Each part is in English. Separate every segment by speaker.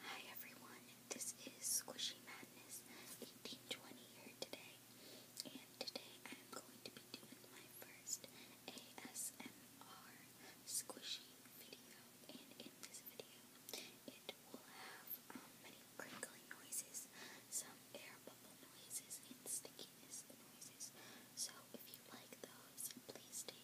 Speaker 1: Hi everyone, this is Squishy Madness 1820 here today, and today I'm going to be doing my first ASMR squishy video, and in this video it will have um, many crinkling noises, some air bubble noises, and stickiness noises, so if you like those, please stay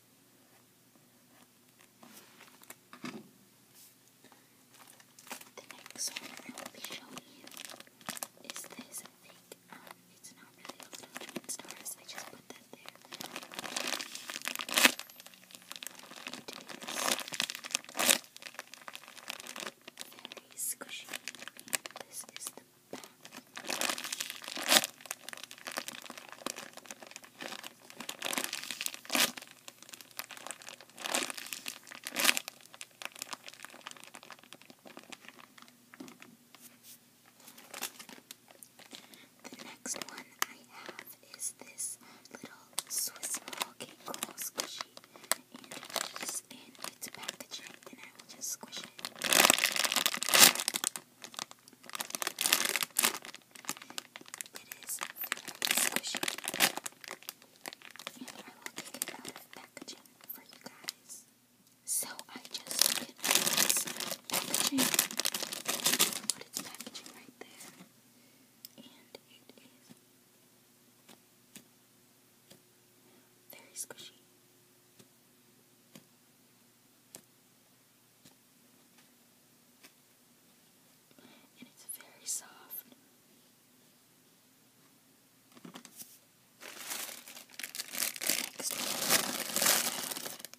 Speaker 1: The next one I will be showing you is this. I think um, it's not really a little twin stars. I just put that there. It is very squishy. This is the back. The next one I have is this little Swiss roll cake roll squishy, and it is in its packaging, and I will just squish it. It is very squishy. And I will take it out packaging for you guys. So I just took it packaging. Put packaging right there. And it is very squishy. And it's very soft.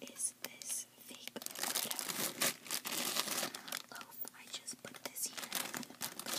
Speaker 1: Next is this fake loaf. I just put this here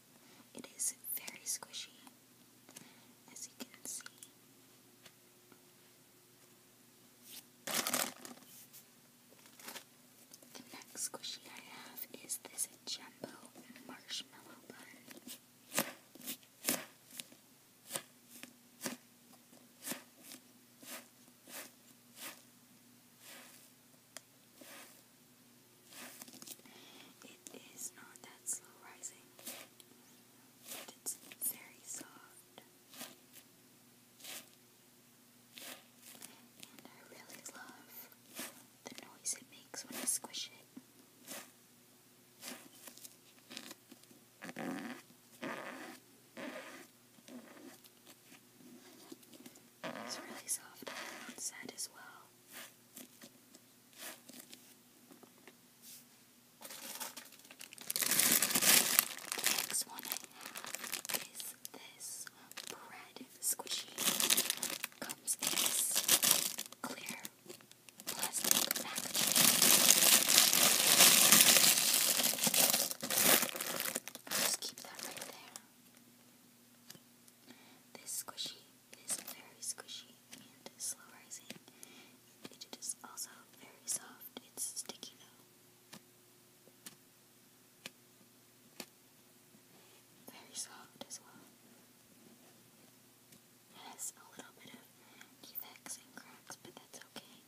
Speaker 1: It is very squishy, as you can see. The next squishy I have is this jumbo marshmallow bun. It is not that slow rising, but it's very soft. And I really love the noise it makes when I squish it. It's really soft and the outside as well. next one I have is this bread squishy. Comes in clear plastic packaging. just keep that right there. This squishy is very squishy and slow rising. It is also very soft. It's sticky though. Very soft as well. has a little bit of defects and cracks, but that's okay.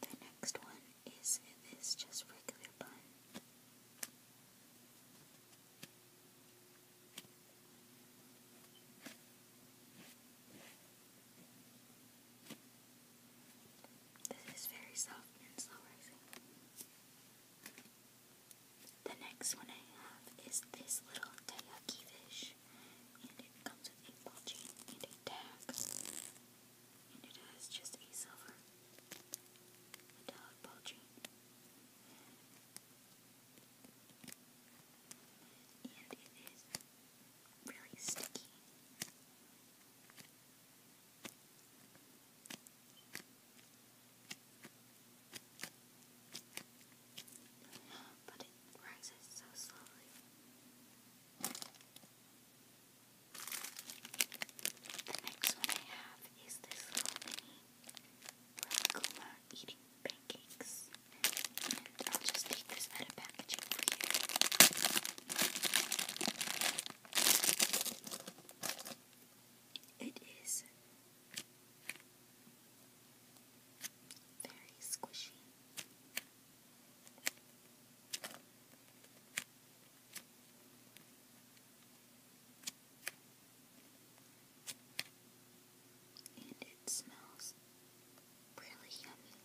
Speaker 1: The next one is this just regular bun? This is very soft and slow rising. The next one I have is this little taiyaki fish pouch. And it comes with a ball chain and a tag. And it has just a silver ball chain. And it is really sticky. But it rises so slowly. The next one I have is this little mini Rakuma eating pancakes. And I'll just take this out of packaging for you. It is very squishy. And it smells really yummy,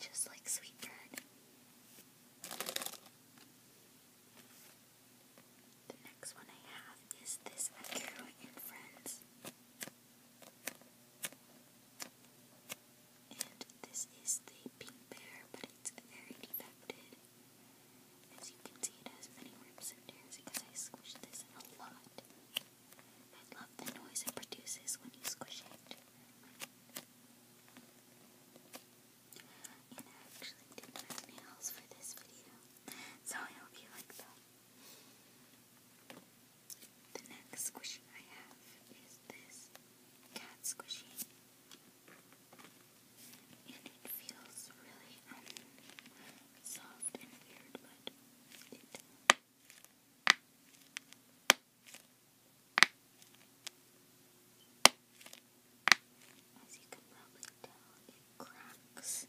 Speaker 1: just like sweet bread. The next one I have is this Akiro and Friends. And this is the pink bear, but it's very defected. As you can see, it has many rips and tears because I squished this a lot. I love the noise it produces when you squish it. And I actually did my nails for this video, so I hope you like them. The next squishy I have is this cat squishy. And it feels really um, soft and weird, but as you can probably tell, it cracks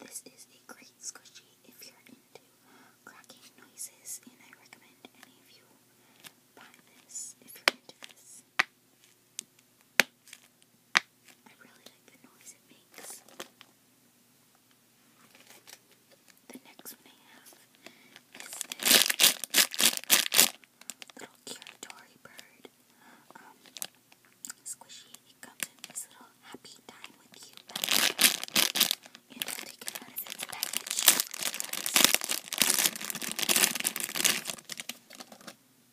Speaker 1: this is a great squishy if you're into cracking noises, and I recommend any of you buy this if you're into this. I really like the noise it makes. The next one I have is this little Curatori bird. Um, squishy, it comes in this little happy time with you package. You know, take out of its package.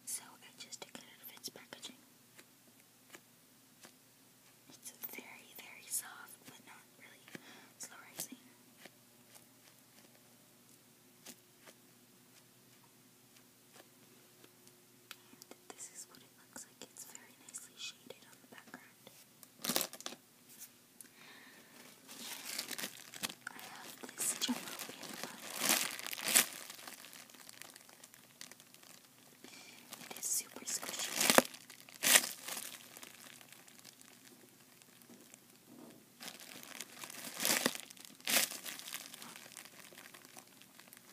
Speaker 1: So I just took it out of its packaging. It's very, very soft, but not really slow rising. And this is what it looks like. It's very nicely shaded on the background. I have this jumbo it is super squishy.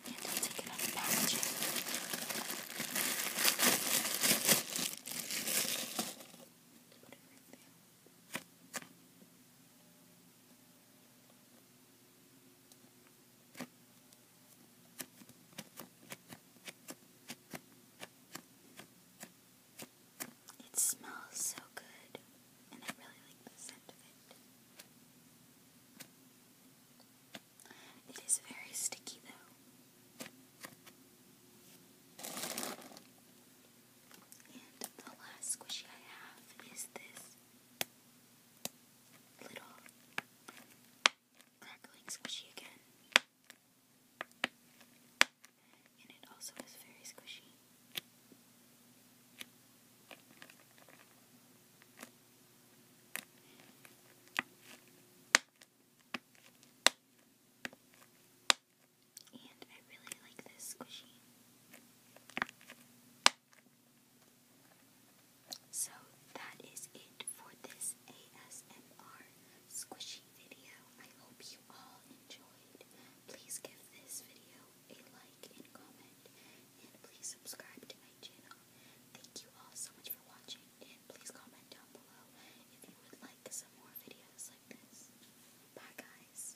Speaker 1: And i take it out of the packaging. Put it right there. It smells so good, and I really like the scent of it. It is very sticky though. And the last squishy I have is this little crackling squishy again. And it also is very squishy. And I really like this squishy. So that is it for this ASMR squishy video. I hope you all enjoyed. Please give this video a like and comment, and please subscribe to my channel. Thank you all so much for watching, and please comment down below if you would like some more videos like this. Bye, guys.